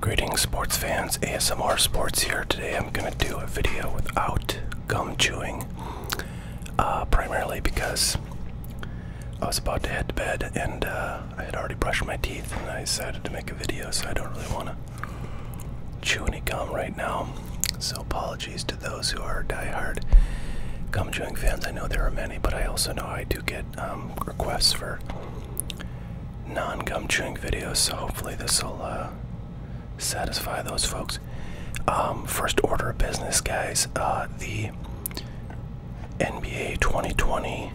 Greetings sports fans, ASMR Sports here. Today I'm going to do a video without gum chewing, uh, primarily because I was about to head to bed and uh, I had already brushed my teeth and I decided to make a video so I don't really want to chew any gum right now. So apologies to those who are diehard gum chewing fans. I know there are many, but I also know I do get um, requests for non gum chewing videos, so hopefully this will uh, satisfy those folks. Um, first order of business, guys. Uh, the NBA 2020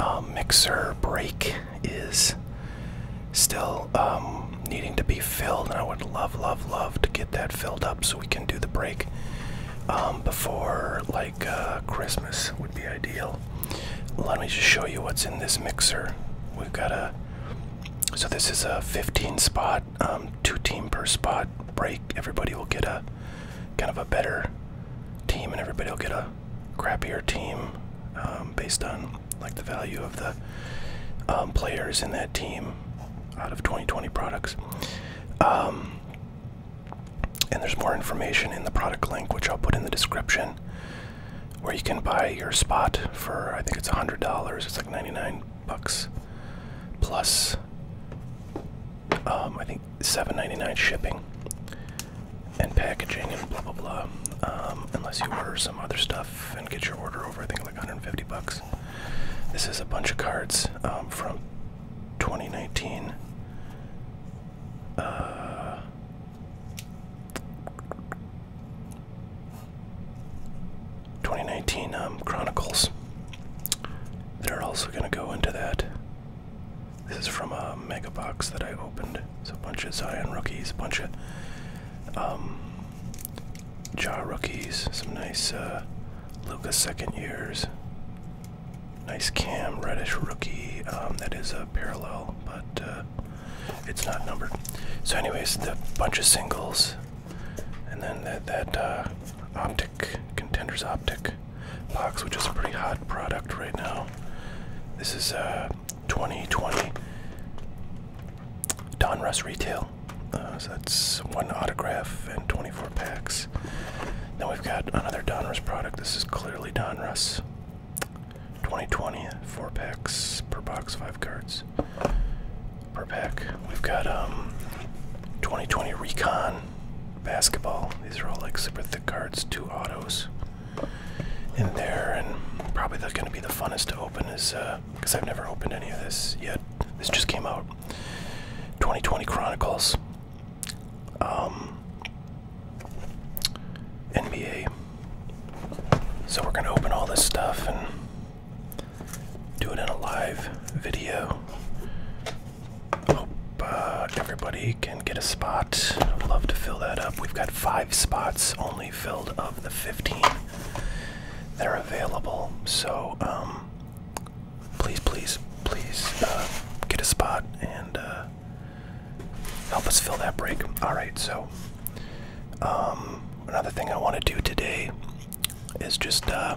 um, mixer break is still um, needing to be filled, and I would love, love, love to get that filled up so we can do the break before like uh, Christmas would be ideal let me just show you what's in this mixer. We've got a so this is a 15 spot, um, two team per spot break. Everybody will get a kind of a better team, and everybody will get a crappier team um, based on like the value of the um, players in that team out of 2020 products. And there's more information in the product link, which I'll put in the description, where you can buy your spot for I think it's $100. It's like 99 bucks plus um, I think 7.99 shipping and packaging and blah blah blah. Um, unless you order some other stuff and get your order over, I think like 150 bucks. This is a bunch of cards um, from 2019. Twenty nineteen um, Chronicles. They're also going to go into that. This is from a mega box that I opened. It's a bunch of Zion rookies, a bunch of um, Jaw rookies, some nice uh, second years. Nice cam, reddish rookie. Um, that is a parallel, but uh, it's not numbered. So, anyways, the bunch of singles, and then that that uh, optic contenders optic box, which is a pretty hot product right now. This is uh, 2020 Donruss Retail. Uh, so that's one autograph and 24 packs. Nice. Then we've got another Donruss product. This is clearly Donruss. 2020, four packs per box, five cards per pack. We've got um, 2020 Recon basketball. These are all like super thick cards, two autos in there, and probably that's going to be the funnest to open is because uh, I've never opened any of this yet. This just came out. 2020 Chronicles. Um, NBA. So we're going to open all this stuff and do it in a live video. Hope uh, everybody can get a spot. i love to fill that up. We've got five spots only filled of the 15 that are available. So um, please, please, please uh, get a spot and uh, help us fill that break. All right, so um, another thing I want to do today is just uh,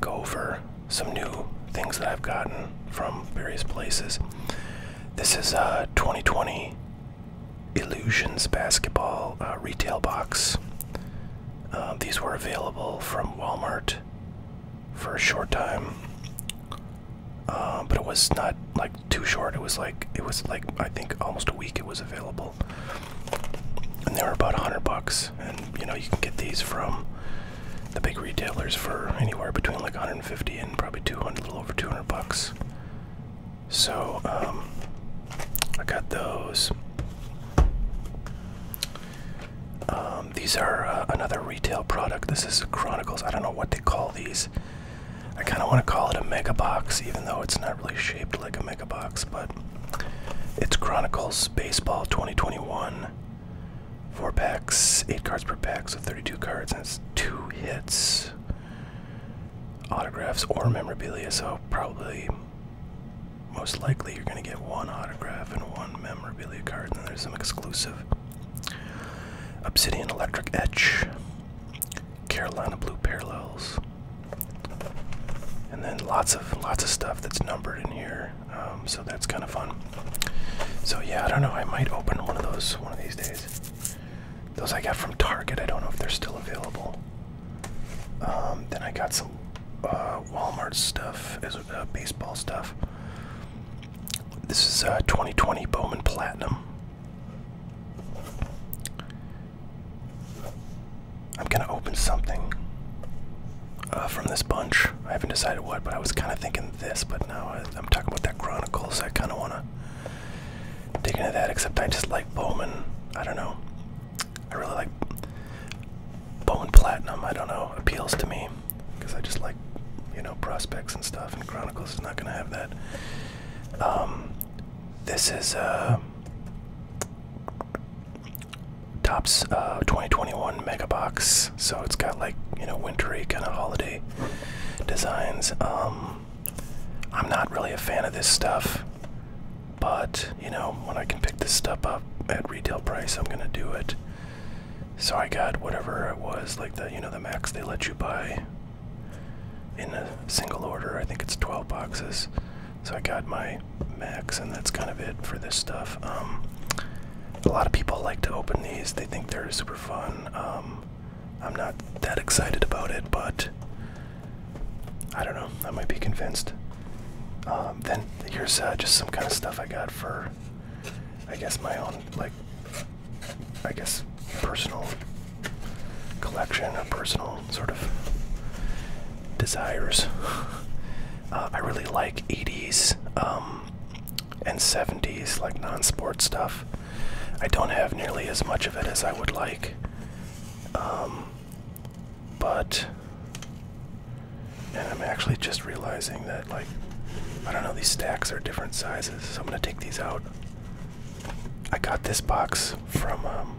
go over some new things that I've gotten from various places. This is a uh, 2020 Illusions Basketball uh, Retail Box. these were available from Walmart for a short time. Uh, but it was not like too short. It was like it was like I think almost a week it was available, and they were about hundred bucks. And you know you can get these from the big retailers for anywhere between like 150 and probably 200, a little over 200 bucks. So um, I got those. Um, these are uh, another retail product. This is Chronicles. I don't know what they call these. I kind of want to call it a mega box, even though it's not really shaped like a mega box, but it's Chronicles Baseball 2021. Four packs, eight cards per pack, so 32 cards, and it's two hits. Autographs or memorabilia, so probably most likely you're going to get one autograph and one memorabilia card, and then there's some exclusive Obsidian Electric Etch, Carolina Blue Parallels, and then lots of lots of stuff that's numbered in here. Um, so that's kind of fun. So yeah, I don't know. I might open one of those one of these days. Those I got from Target. I don't know if they're still available. Um, then I got some uh, Walmart stuff, as uh, baseball stuff. This is a uh, 2020 Bowman Platinum. I'm gonna open something uh, from this bunch. I haven't decided what, but I was kind of thinking this, but now I, I'm talking about that Chronicles. I kind of wanna dig into that, except I just like Bowman. I don't know. I really like Bowman Platinum. I don't know. Appeals to me because I just like, you know, prospects and stuff, and Chronicles is not going to have that. Um, this is uh, Tops uh, 2021 Mega Box, so it's got like, you know, wintry kind of holiday designs. Um, I'm not really a fan of this stuff, but, you know, when I can pick this stuff up at retail price, I'm going to do it. So I got whatever it was, like the you know the max they let you buy in a single order. I think it's 12 boxes. So I got my max, and that's kind of it for this stuff. Um, a lot of people like to open these. They think they're super fun. Um, I'm not that excited about it, but I don't know. I might be convinced. Um, then here's uh, just some kind of stuff I got for I guess my own like I guess personal collection or personal sort of desires. Uh, I really like 80s um, and 70s like non-sport stuff. I don't have nearly as much of it as I would like. Um, but and I'm actually just realizing that, like, I don't know, these stacks are different sizes, so I'm gonna take these out. I got this box from um,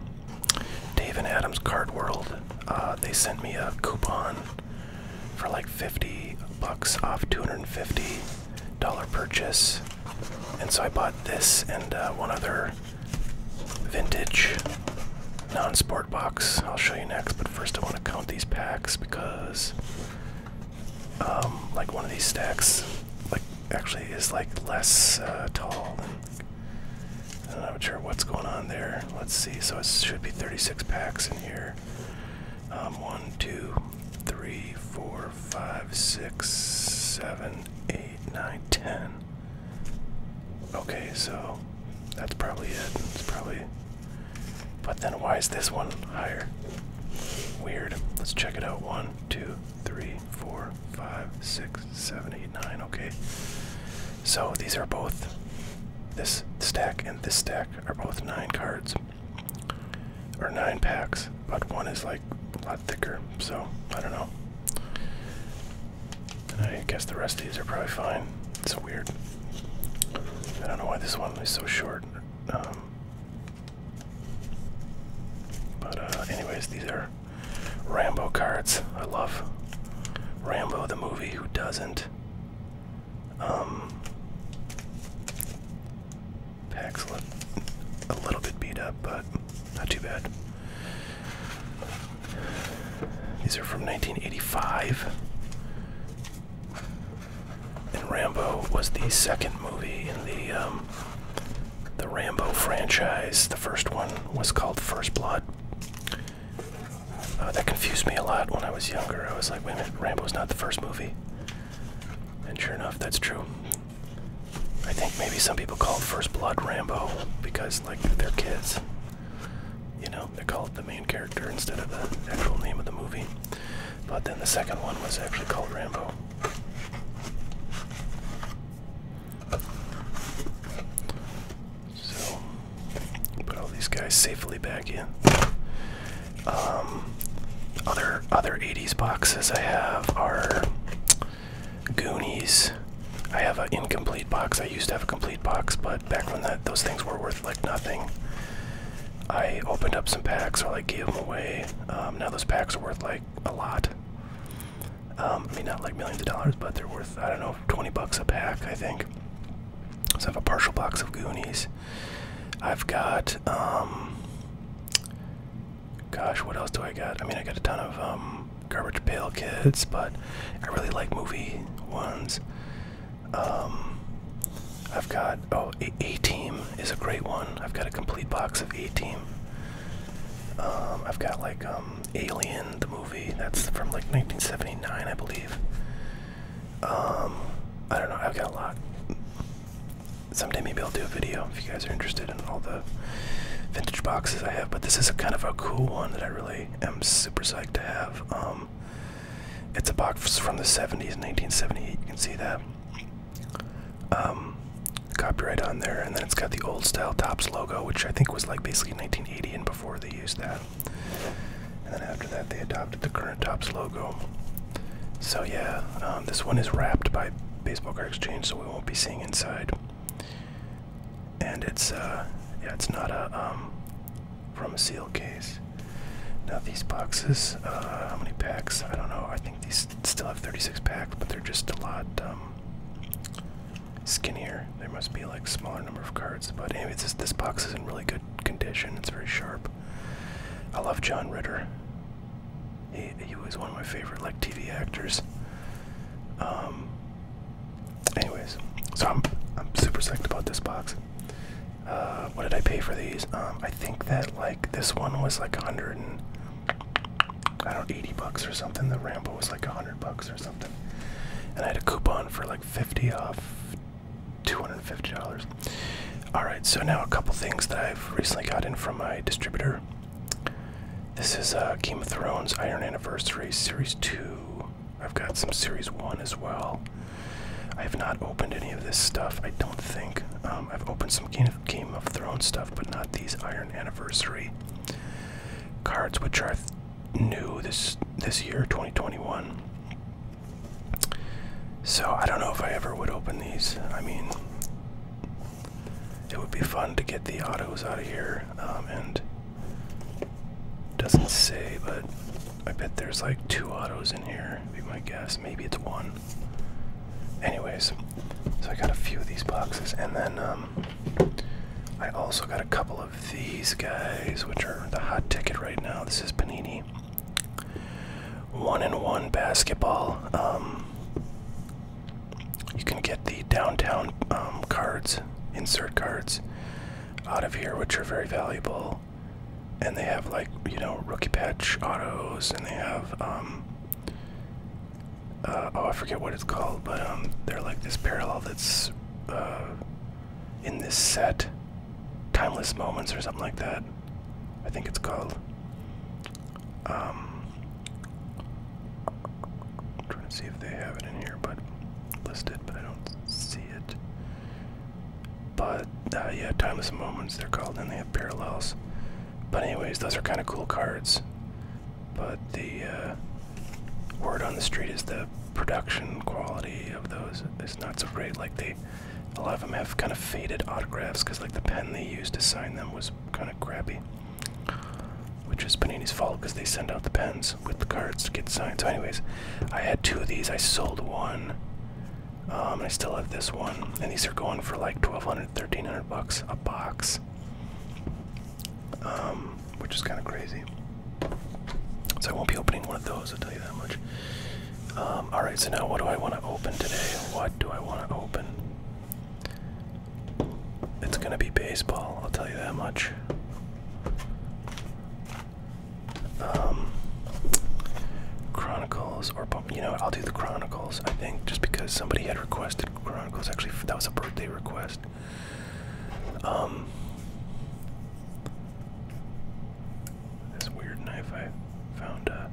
Dave and Adam's Card World. Uh, they sent me a coupon for like 50 bucks off $250 purchase. And so I bought this and uh, one other vintage non sport box. I'll show you next, but first I want to count these packs because um, like one of these stacks, like actually is like less uh, tall. I'm not sure what's going on there. Let's see. So it should be 36 packs in here. Um, one, two, three, four, five, six, seven, eight, nine, ten. Okay, so that's probably it. It's probably but then why is this one higher? Weird. Let's check it out. One, two, three, four, five, six, seven, eight, nine. Okay. So these are both. This stack and this stack are both nine cards. Or nine packs, but one is like a lot thicker, so I don't know. I guess the rest of these are probably fine. It's weird. I don't know why this one is so short. Um, but uh, anyways, these are Rambo cards. I love Rambo the movie. Who doesn't? Um, packs look a little bit beat up, but not too bad. These are from 1985. And Rambo was the second movie in the um, the Rambo franchise. The first one was called First Blood. Uh, that confused me a lot when I was younger. I was like, wait a minute, Rambo's not the first movie. And sure enough, that's true. I think maybe some people called First Blood Rambo because, like, they're kids you know, they call it the main character instead of the actual name of the movie. But then the second one was actually called Rambo. So, put all these guys safely back in. Um, other other 80s boxes I have are Goonies. I have an incomplete box. I used to have a complete box, but back when that those things were worth like nothing. I opened up some packs or like gave them away. Um, now those packs are worth like a lot. Um, I mean, not like millions of dollars, but they're worth I don't know 20 bucks a pack, I think. So I have a partial box of Goonies. I've got, um, gosh, what else do I got? I mean, I got a ton of Garbage Pail Kids, but I really like movie ones. Um, I've got oh a, team is a great one. I've got a complete box of A team. Um, I've got like um, Alien the movie that's from like 1979 I believe. Um, I don't know. I've got a lot. Someday maybe I'll do a video if you guys are interested in all the vintage boxes I have. But this is a kind of a cool one that I really am super psyched to have. Um, it's a box from the 70s, 1978. You can see that um, copyright on there, and then it's got the old style Tops logo, which I think was like basically 1980 and before they used that. And then after that, they adopted the current Tops logo. So yeah, um, this one is wrapped by Baseball Card Exchange, so we won't be seeing inside. And it's uh, yeah, it's not a um, from a seal case. Now these boxes, uh, how many packs? I don't know. I think these still have 36 packs, but they're just a lot um, skinnier. There must be like smaller number of cards. But anyway, this this box is in really good condition. It's very sharp. I love John Ritter. He he was one of my favorite like TV actors. Um. Anyways, so I'm I'm super psyched about this box. Uh, what did I pay for these? Um, I think that like this one was like 100 and I don't know, 80 bucks or something. The Rambo was like 100 bucks or something. And I had a coupon for like 50 off $250. Alright, so now a couple things that I've recently gotten from my distributor. This is uh, Game of Thrones Iron Anniversary Series 2. I've got some Series 1 as well. I have not opened any of this stuff, I don't think. Um, I've opened some Game of Thrones stuff, but not these Iron Anniversary cards, which are new this this year, 2021. So I don't know if I ever would open these. I mean, it would be fun to get the autos out of here, um, and doesn't say, but I bet there's like two autos in here, be my guess. Maybe it's one. Anyways, so I got a few of these boxes, and then um, I also got a couple of these guys, which are the hot ticket right now. This is Panini. One in one basketball. Um, you can get the downtown um, cards, insert cards, out of here, which are very valuable. And they have like, you know, rookie patch autos and they have um uh, oh I forget what it's called, but um they're like this parallel that's uh, in this set. Timeless moments or something like that. I think it's called. Um I'm trying to see if they have it in here, but listed, but I don't see it. But uh, yeah, timeless moments they're called, and they have parallels. But anyways, those are kind of cool cards. But the uh, word on the street is the production quality of those is not so great. Like they, a lot of them have kind of faded autographs because like the pen they used to sign them was kind of crappy. Which is Panini's fault because they send out the pens with the cards to get signed. So anyways, I had two of these. I sold one um, I still have this one, and these are going for like 1200 1300 bucks a box, um, which is kind of crazy. So I won't be opening one of those, I'll tell you that much. Um, alright, so now what do I want to open today? What do I want to open? It's going to be baseball, I'll tell you that much. Um, Chronicles or you know I'll do the Chronicles I think just because somebody had requested Chronicles actually that was a birthday request. Um, this weird knife I found. Uh,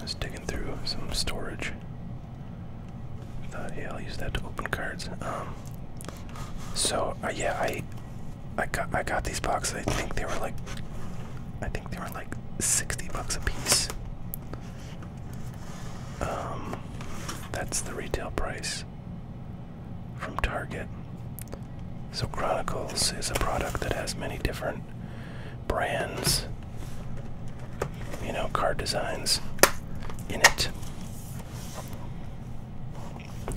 was digging through some storage. thought, yeah, I'll use that to open cards. Um, so uh, yeah, I I got I got these boxes. I think they were like I think they were like 60 bucks a piece. Um that's the retail price from Target. So Chronicles is a product that has many different brands, you know, card designs in it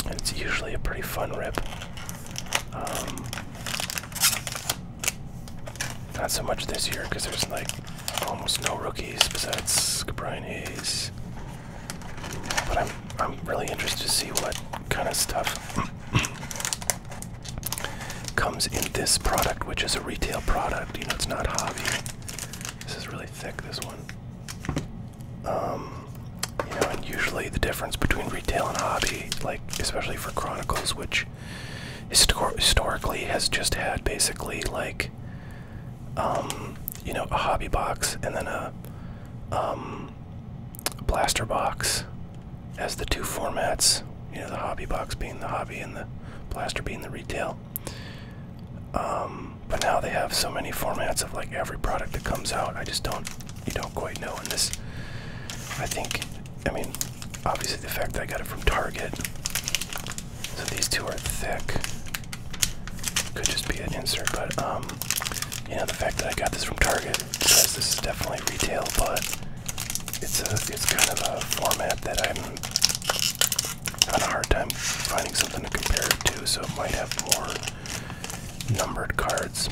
it's usually a pretty fun rip. Um, not so much this year because there's like almost no rookies besides Brian But I'm I'm really interested to see what kind of stuff comes in this product, which is a retail product. You know, it's not hobby. This is really thick. This one. Um, you know, and usually the difference between retail and hobby, like especially for Chronicles, which historically has just had basically like, um, you know, a hobby box and then a um, blaster box as the two formats. You know, the hobby box being the hobby and the blaster being the retail. but now they have so many formats of like every product that comes out. I just don't you don't quite know in this. I think, I mean, obviously the fact that I got it from Target. So these two are thick. Could just be an insert, but um, you know the fact that I got this from Target says this is definitely retail, but it's a it's kind of a format that I'm having a hard time finding something to compare it to, so it might have more numbered cards.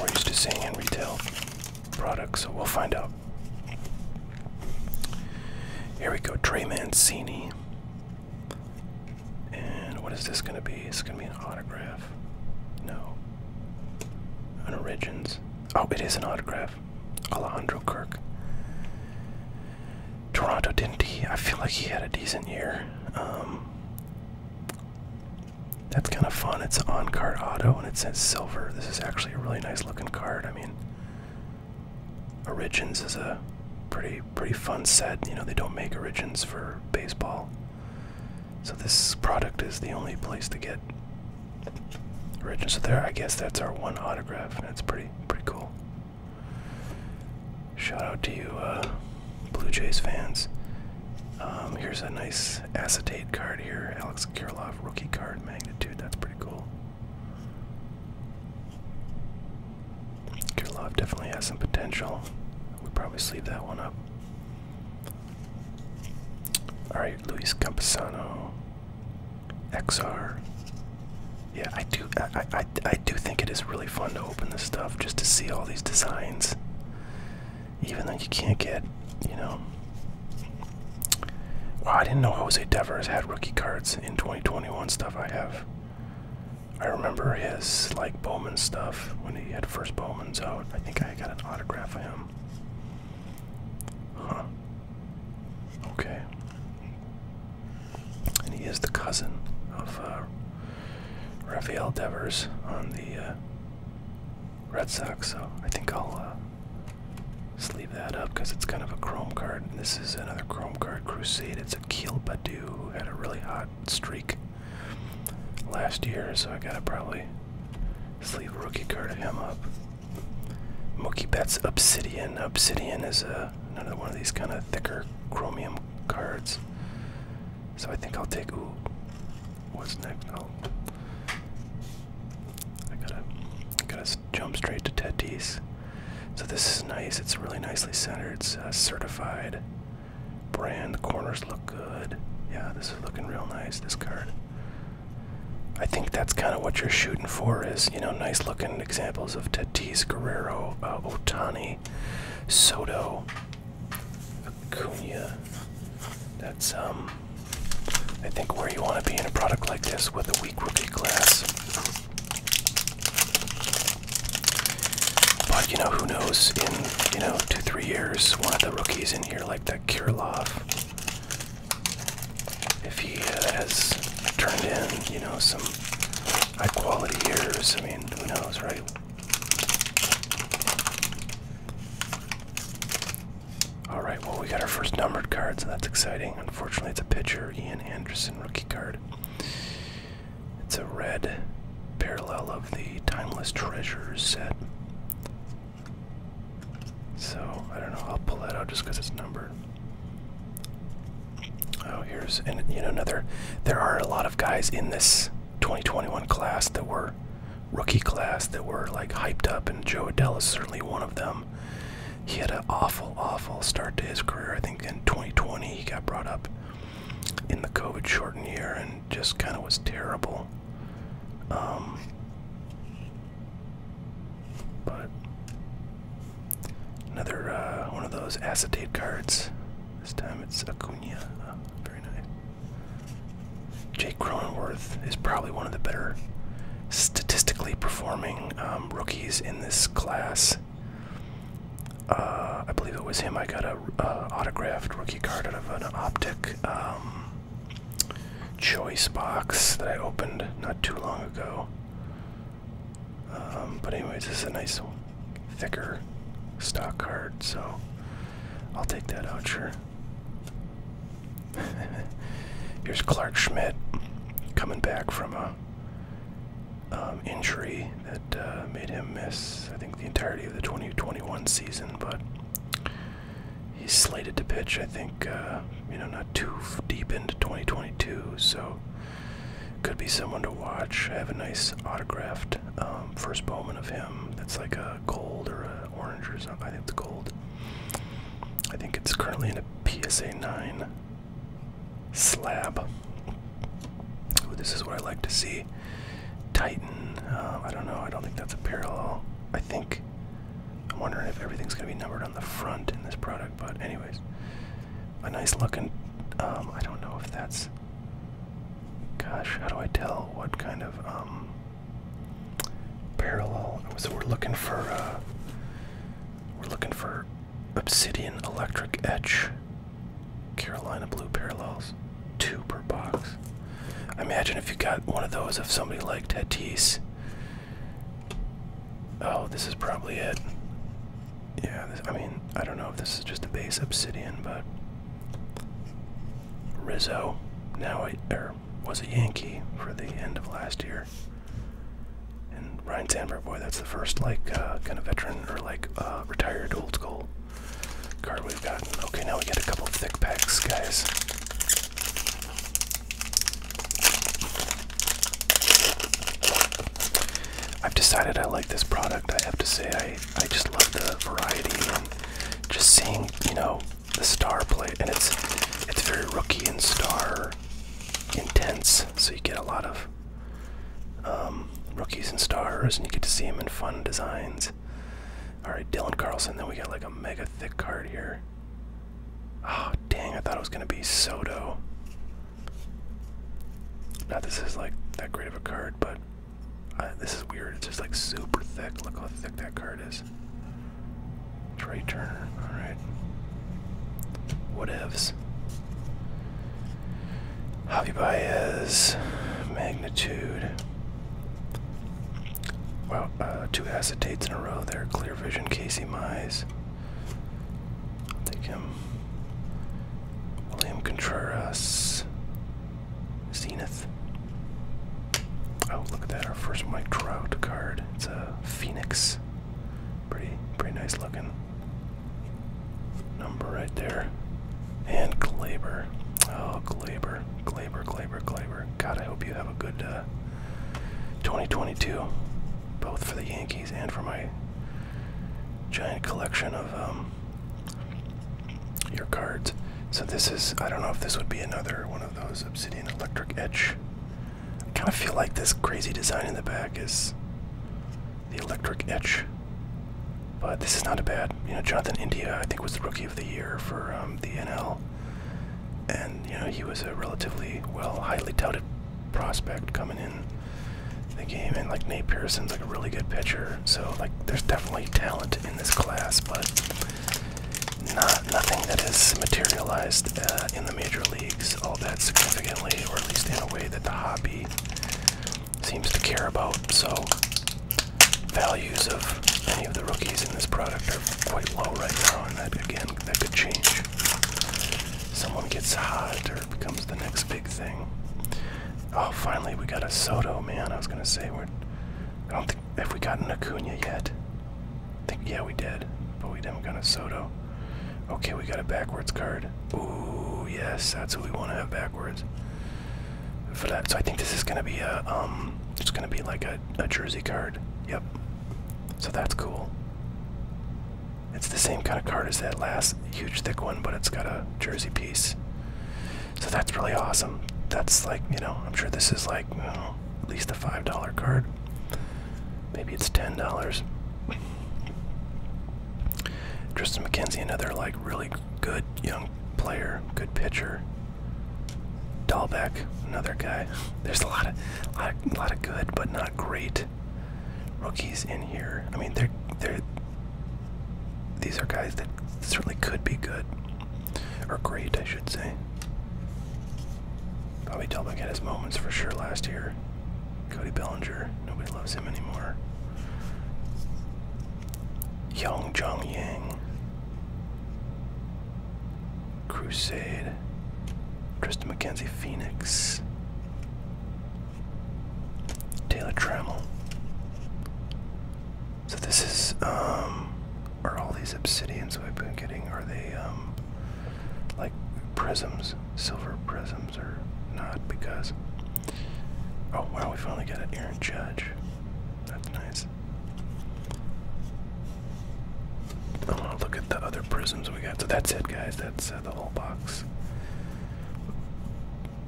We're used to seeing in retail products, so we'll find out. Here we go, Trey Mancini. And what is this going to be? It's going to be an autograph. No. An origins. Oh, it is an autograph. Alejandro Kirk. Toronto didn't he? I feel like he had a decent year. Um, that's kind of fun. It's on card auto and it says silver. This is actually a really nice looking card. I mean, Origins is a pretty pretty fun set. You know, they don't make Origins for baseball. So this product is the only place to get Origins. So there, I guess that's our one autograph and it's pretty pretty cool. Shout out to you, uh, Blue Jays fans. Um, here's a nice acetate card here, Alex Kirilov rookie card, magnitude. That's pretty cool. Kirilov definitely has some potential. We probably sleep that one up. All right, Luis Camposano, XR. Yeah, I do. I, I, do think it is really fun to open this stuff just to see all these designs. Even though you can't get, you know. I didn't know Jose Devers had rookie cards in 2021 stuff I have. I remember his, like, Bowman stuff when he had first Bowman's out. I think I got an autograph of him. Huh. Okay and he is the cousin of uh, Rafael Devers on the uh, Red Sox. So I think I'll uh, sleeve that up because it's kind of a Chrome card. this is another Chrome card crusade. It's Akil Badu who had a really hot streak last year, so I gotta probably sleeve a rookie card of him up. Mookie Betts Obsidian. Obsidian is uh, another one of these kind of thicker chromium cards. So I think I'll take. Ooh, what's next? Oh, I gotta, gotta jump straight to Teddy's. So this is nice. It's really nicely centered. It's certified brand. The corners look good. Yeah, this is looking real nice. This card. I think that's kind of what you're shooting for is, you know, nice looking examples of Tatis, Guerrero, uh, Otani, Soto, Acuna. That's um I think where you want to be in a product like this with a weak rookie class. But you know who knows in you know two three years one of the rookies in here like that Kirilov if he uh, has turned in you know some high quality years I mean who knows right all right, well, we got our first numbered card, so that's exciting. Unfortunately, it's a pitcher, Ian Anderson rookie card. It's a red parallel of the Timeless Treasures set. So, I don't know, I'll pull that out just because it's numbered. Oh, here's another. There are a lot of guys in this 2021 class that were rookie class that were like hyped up, and Joe Adell is certainly one of them. He had an awful, awful start to his career. I think in 2020 he got brought up in the COVID shortened year and just kind of was terrible. Um, but another uh, one of those acetate cards. This time it's Acuna. Oh, very nice. Jake Cronenworth is probably one of the better statistically performing um, rookies in this class. Uh, I believe it was him. I got a uh, autographed rookie card out of an optic um, choice box that I opened not too long ago. Um, but anyways, it's a nice thicker stock card, so I'll take that out, sure. Here's Clark Schmidt coming back from a um, injury that uh, made him miss, I think, the entirety of the 2021 season, but he's slated to pitch, I think, uh, you know, not too deep into 2022, so could be someone to watch. I have a nice autographed um, first Bowman of him. That's like a gold or an orange or something. I think it's gold. I think it's currently in a PSA 9 slab. this is what I like to see. Titan. Uh, I don't know. I don't think that's a parallel. I think. I'm wondering if everything's going to be numbered on the front in this product, but anyways. A nice looking. Um, I don't know if that's. Gosh, how do I tell what kind of um, parallel? So we're looking for uh, we're looking for obsidian electric etch, Carolina blue parallels, two per box. I imagine if you got one of those, if somebody liked Tatis. Oh, this is probably it. Yeah, I mean, I don't know if this is just a base obsidian, but Rizzo now I, er, was a Yankee for the end of last year. And Ryan Sandberg, boy, that's the first like uh, kind of veteran or like uh, retired old school card we've got. Okay, now we get a couple thick packs, guys. I've decided I like this product. I have to say I I just love the variety and just seeing, you know, the star play and it's it's very rookie and star intense, so you get a lot of um, rookies and stars and you get to see them in fun designs. Alright, Dylan Carlson, then we got like a mega thick card here. Oh dang, I thought it was gonna be Soto. Now this is like that great of a card, but uh, this is weird. It's just like super thick. Look how thick that card is. Trey Turner. All right. Whatevs. Javi Baez. Magnitude. Wow, uh, two acetates in a row there. Clear Vision, Casey Mize. take him. William Contreras. Zenith. Oh, look at that. Our first Mike Trout card. It's a Phoenix. Pretty, pretty nice looking number right there. And Glaber. Oh, Glaber. Glaber, Glaber, Glaber. God, I hope you have a good uh, 2022, both for the Yankees and for my giant collection of um, your cards. So this is I don't know if this would be another one of those obsidian electric Edge. I kind of feel like this crazy design in the back is the electric Edge. But this is not a bad, you know, Jonathan India I think was the rookie of the year for um, the NL. And you know, he was a relatively well highly touted prospect coming in the game, and like Nate Pearson's like a really good pitcher. So like, there's definitely talent in this class, but not nothing that has materialized uh, in the major leagues all that significantly, or at least in a way that the hobby seems to care about. So values of any of the rookies in this product are quite low right now, and that again, that could change. Someone gets hot or becomes the next thing. Oh, finally we got a Soto, man. I was gonna say we're. I don't think have we gotten Acuna yet. think yeah we did, but we didn't got a Soto. Okay, we got a backwards card. Ooh, yes, that's what we want to have backwards. For that, so I think this is gonna be a um, it's gonna be like a, a jersey card. Yep. So that's cool. It's the same kind of card as that last huge thick one, but it's got a jersey piece. So that's really awesome. That's like, you know, I'm sure this is like at least a $5 card. Maybe it's $10. Tristan McKenzie, another like really good young player, good pitcher. Dahlbeck, another guy. There's a lot of, lot, of, lot of good but not great rookies in here. I mean, they're they're these are guys that certainly could be good. Or great, I should say. Bobby Delbeck had his moments for sure last year. Cody Bellinger, nobody loves him anymore. Young Jong Yang. Crusade. Tristan McKenzie Phoenix. Taylor Trammell. So this is, um, are all these obsidians we've been getting, are they, um, like prisms, silver prisms or not? Because, oh wow, we finally got an Aaron Judge. That's nice. I want to look at the other prisms we got. So that's it, guys. That's uh, the whole box.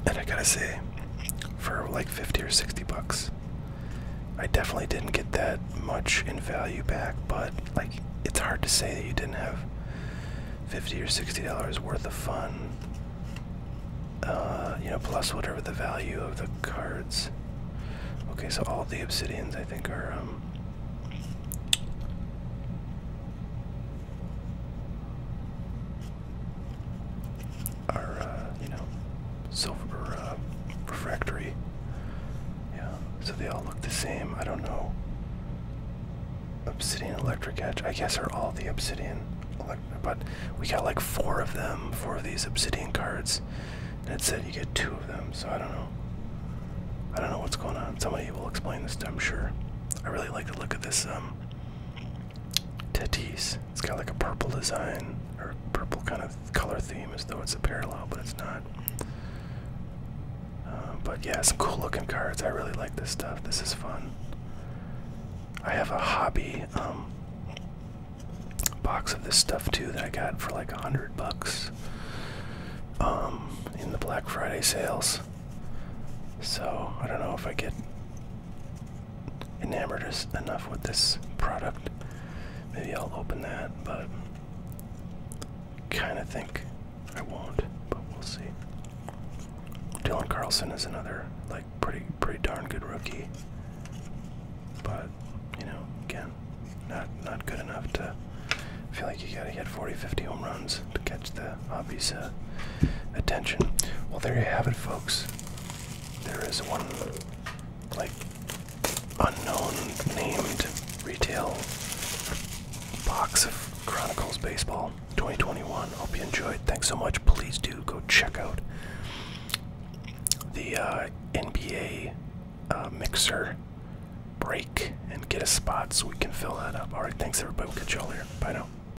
And I gotta say, for like 50 or 60 bucks, I definitely didn't get that much in value back, but like it's hard to say that you didn't have 50 or 60 dollars worth of fun. Uh, you know, plus whatever the value of the cards. Okay, so all the obsidians I think are um, are uh, you know silver uh, refractory. Yeah, so they all look the same. I don't know. Obsidian electric edge. I guess are all the obsidian. But we got like four of them, four of these obsidian cards, it said you get two of them. So I don't know. I don't know what's going on. Somebody will explain this. To, I'm sure. I really like the look of this um, Tatis. It's got like a purple design or purple kind of color theme as though it's a parallel, but it's not. Um, but yeah, some cool looking cards. I really like this stuff. This is fun. I have a hobby um, box of this stuff too that I got for like a hundred bucks um, in the Black Friday sales. So I don't know if I get enamored us enough with this product. Maybe I'll open that, but kind of think I won't. But we'll see. Dylan Carlson is another like pretty pretty darn good rookie, but you know again, not not good enough to. feel like you gotta hit 40, 50 home runs to catch the uh, uh, attention. Well, there you have it, folks. There is one, like, unknown named retail box of Chronicles Baseball 2021. Hope you enjoyed. Thanks so much. Please do go check out the uh, NBA uh, mixer break and get a spot so we can fill that up. All right, thanks everybody. We'll catch y'all here. Bye now.